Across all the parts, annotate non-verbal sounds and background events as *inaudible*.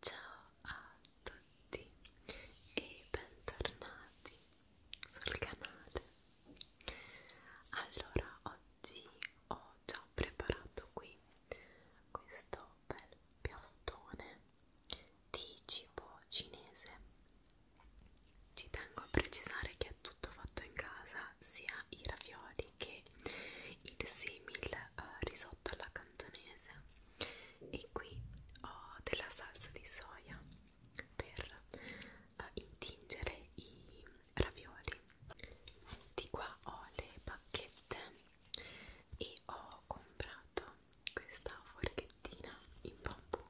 Ciao a tutti e bentornati sul canale. Allora, oggi ho già preparato qui questo bel piattone di cibo cinese. Ci tengo a precisare che è tutto fatto in casa, sia i ravioli e che il simil uh, risotto alla cantonese e qui ho della salsa di soia per uh, intingere i ravioli di qua ho le bacchette e ho comprato questa forchettina in bambù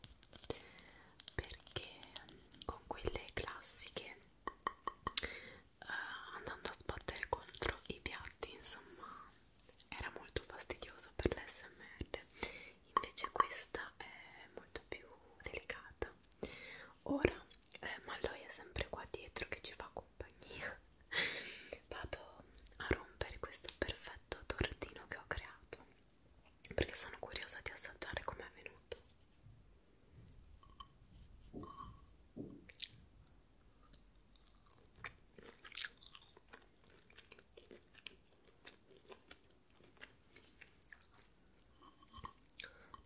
perché mm, con quelle classiche uh, andando a sbattere contro i piatti insomma era molto fastidioso per l'SMR invece questa è molto più delicata ora eh, ma lui è sempre qua dietro che ci fa compagnia *laughs* vado a rompere questo perfetto tortino che ho creato perché sono curiosa di assaggiare com'è venuto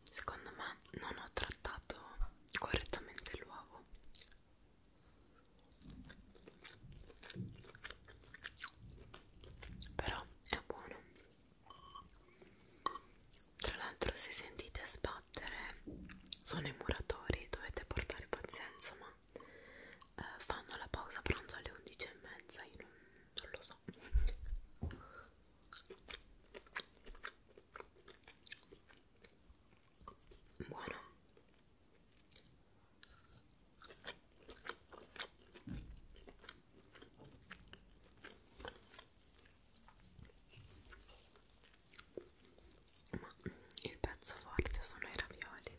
Secondo me non ho trattato correttamente l'uovo. Però è buono tra l'altro se sentite sbattere sono i muratori, dovete portare pazienza ma eh, fanno la pausa pranzo alle 11 e mezza, io non, non lo so. Buono ma il pezzo forte sono i ravioli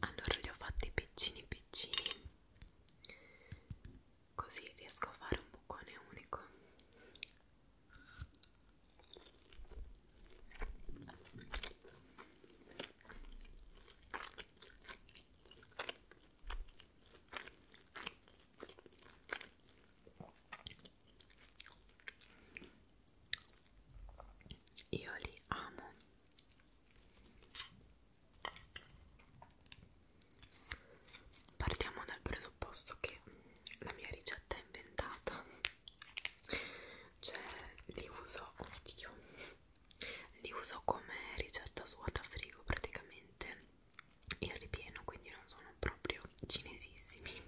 allora li ho fatti piccini piccini così riesco a fare un bucone unico io li amo. Partiamo dal presupposto che la mia ricetta è inventata. Cioè, li uso, oddio, li uso come ricetta svuotafigo praticamente il ripieno quindi non sono proprio cinesissimi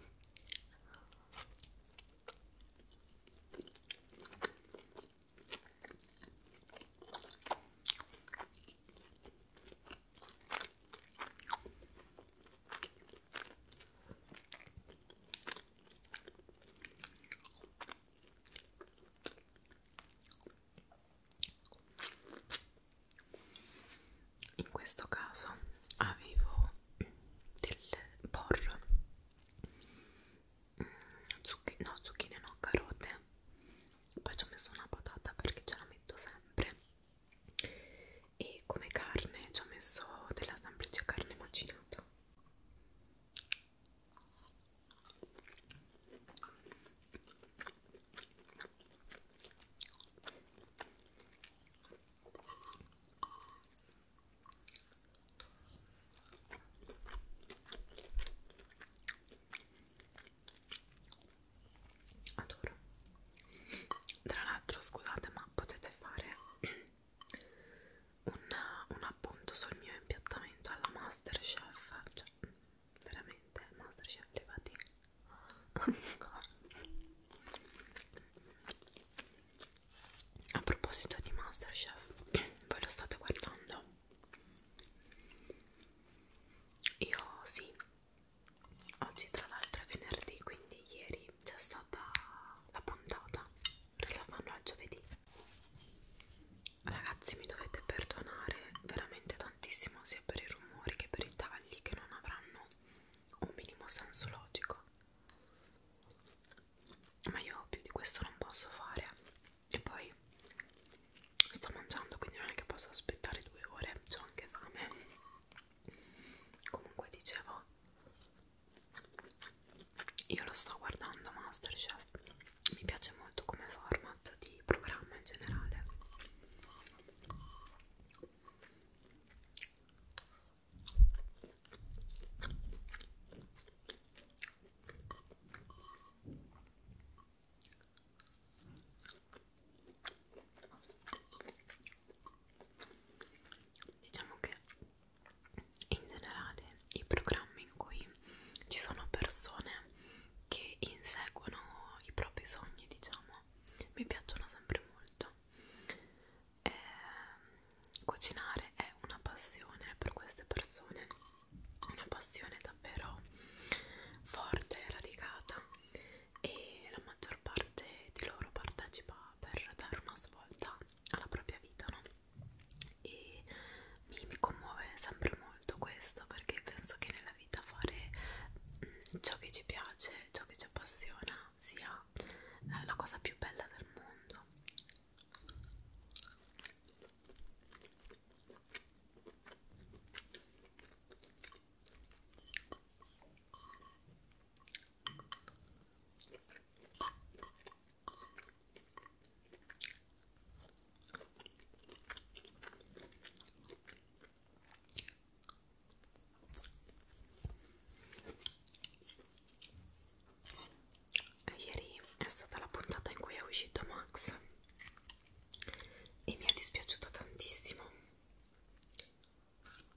in questo caso avevo del porro mm, Zucchi no zucchine no carote poi ci ho messo una patata perché ce la metto sempre e come carne ci ho messo della semplice carne macinata Adoro. Tra l'altro, scusate, ma potete fare una, un appunto sul mio impiattamento alla Masterchef, cioè veramente Masterchef levati a proposito di Masterchef, *clears throat* voi lo state guardando? Io sì, oggi tra l'altro è venerdì, quindi ieri c'è stata la puntata perché la fanno al giovedì ragazzi mi dovete perdonare veramente tantissimo sia per i rumori che per i tagli che non avranno un minimo senso logico ma io più di questo non posso fare e poi sto mangiando quindi non è che posso aspettare due ore ho anche fame comunque dicevo io lo sto guardando Masterchef, mi piace molto come format di programma in generale. Diciamo che in generale i programmi in cui ci sono persone che inseguono i propri sogni diciamo mi piacciono sempre molto e ehm, cucinare è una passione per queste persone una passione davvero forte e radicata e la maggior parte di loro partecipa per dare una svolta alla propria vita, no? E mi, mi commuove sempre molto questo perché penso che nella vita fare mh, mm, ciò che ci piace, ciò che ci appassiona sia eh, la cosa più bella del mondo. Ieri è stata la puntata in cui è uscito Max e mi è dispiaciuto tantissimo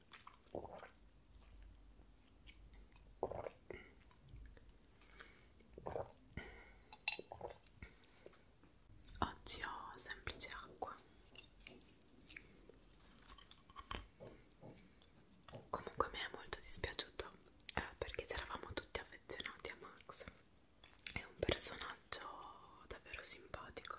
Oggi ho semplice acqua. Comunque mi è molto dispiaciuto eh, perché ci eravamo tutti affezionati a Max. È un personaggio davvero simpatico.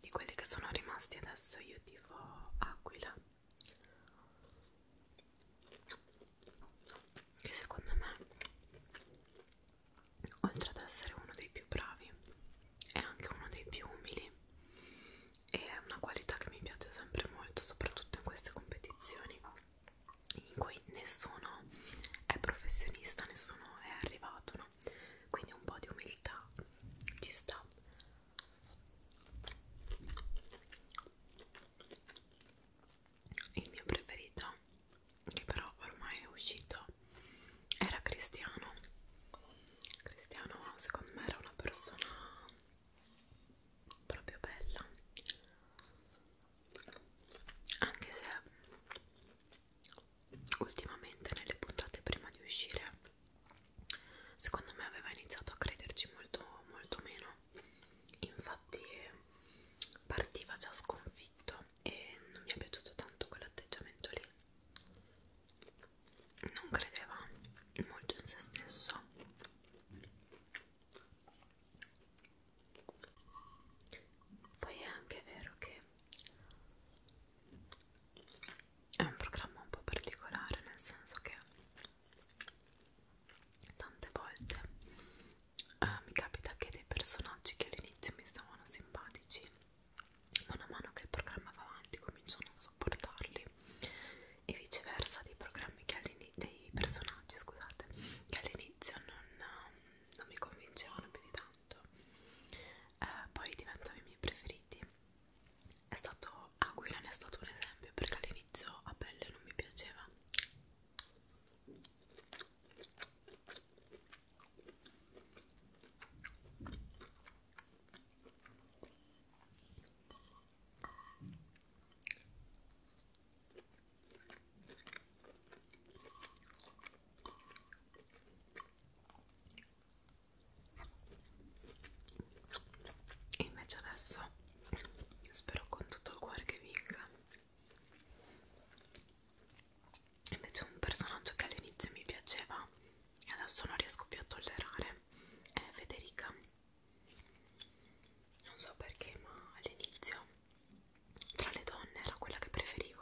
di quelli che sono rimasti adesso io tifo Aquila che secondo me oltre ad essere uno dei più bravi è anche uno dei più umili e è una qualità che mi piace sempre molto soprattutto in queste competizioni in cui nessuno è professionista, nessuno è arrivato, no? Quindi un po' di umiltà ci sta. Il mio preferito, che però ormai è uscito, era Cristiano. Cristiano, secondo me, era una persona proprio bella. Anche se ultimamente nelle puntate prima di uscire secondo me aveva iniziato a crederci molto molto meno infatti partiva già sconfitto e non mi è piaciuto tanto quell'atteggiamento lì non credeva molto in se stesso poi è anche vero che è un programma un po' particolare, nel senso che tante volte eh, mi capita che dei personaggi che all'inizio mi stavano simpatici, man mano che il programma va avanti comincio a non sopportarli e viceversa dei programmi che all'inizio dei personaggi, scusate, che all'inizio non, non mi convincevano più di tanto eh, poi diventano i miei preferiti è stato Aquilan è stato un esempio perché all'inizio a pelle non mi piaceva e invece adesso spero con tutto il cuore che vinca. Invece un personaggio che all'inizio mi piaceva e adesso non riesco più a tollerare è Federica. Non so perché, ma all'inizio tra le donne era quella che preferivo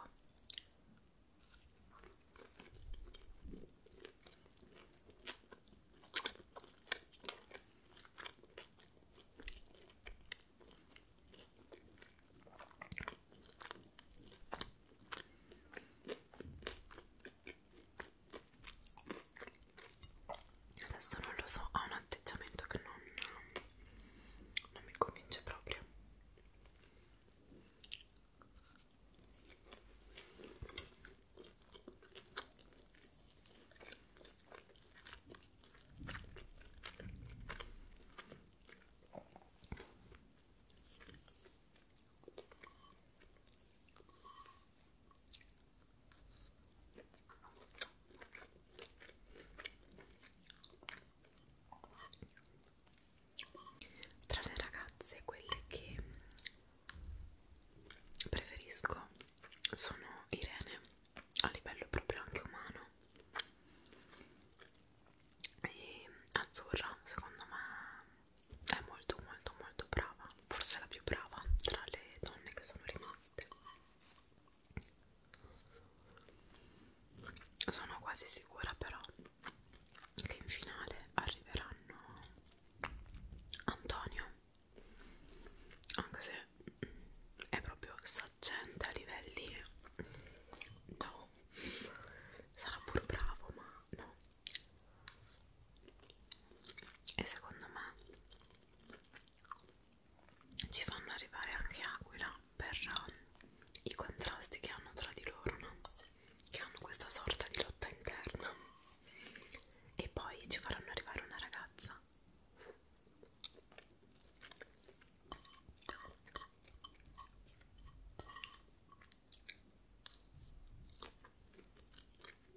adesso non lo so ha un atteggiamento che non non mi convince proprio tra le ragazze quelle che preferisco sono Irene a livello proprio anche umano e Azzurra secondo me è molto molto molto brava forse è la più brava tra le donne che sono rimaste sono quasi sicura però che in finale arriveranno Antonio anche se è proprio saccente a livelli no sarà pur bravo ma no e secondo me ci fanno arrivare anche aquila per um, i contrasti che hanno tra di loro, no? che hanno questa sorta di lotta interna e poi ci faranno arrivare una ragazza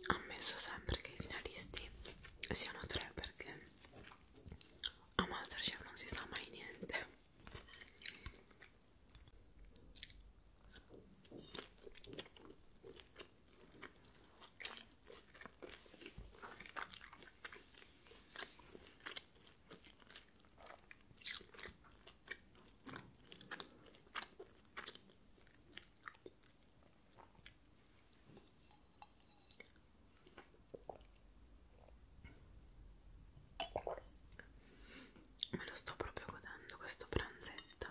ammesso sempre che i finalisti siano tre perché a Masterchef non si sa mai niente Me lo sto proprio godendo questo pranzetto.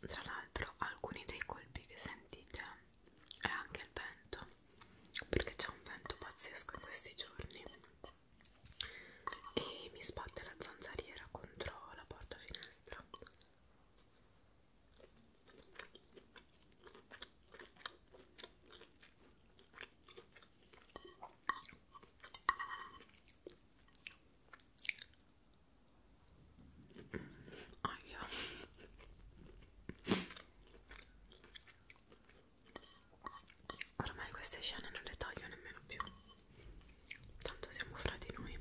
Tra l'altro alcuni dei colpi che sentite è anche il vento, perché c'è un vento pazzesco in questi giorni e mi sbatte la zanzariera contro la porta finestra Oh, yeah. Ormai queste scene non le taglio nemmeno più. Tanto siamo fra di noi.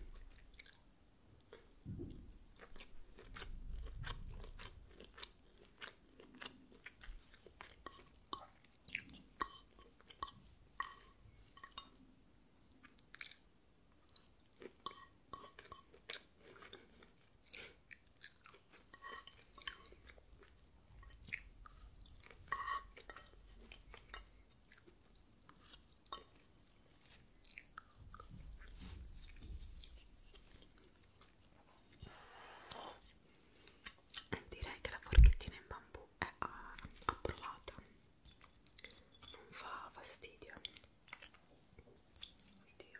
Direi che la forchettina in bambù è ah, approvata, non fa fastidio. Oddio.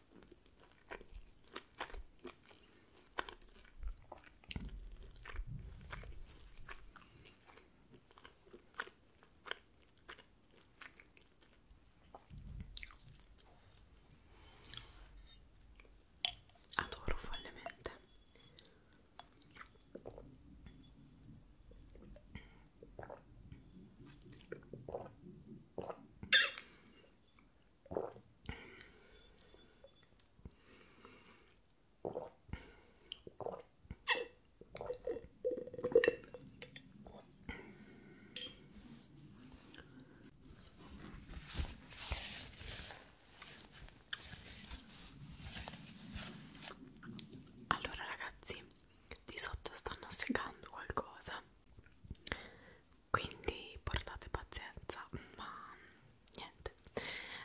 Adoro follemente. Allora ragazzi, di sotto stanno segando qualcosa quindi portate pazienza ma niente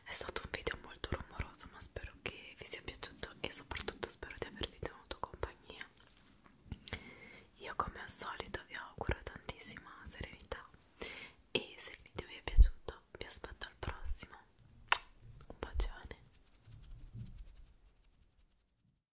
è stato un video molto rumoroso ma spero che vi sia piaciuto e soprattutto spero di avervi tenuto compagnia io come al solito vi auguro tantissima serenità e se il video vi è piaciuto vi aspetto al prossimo un bacione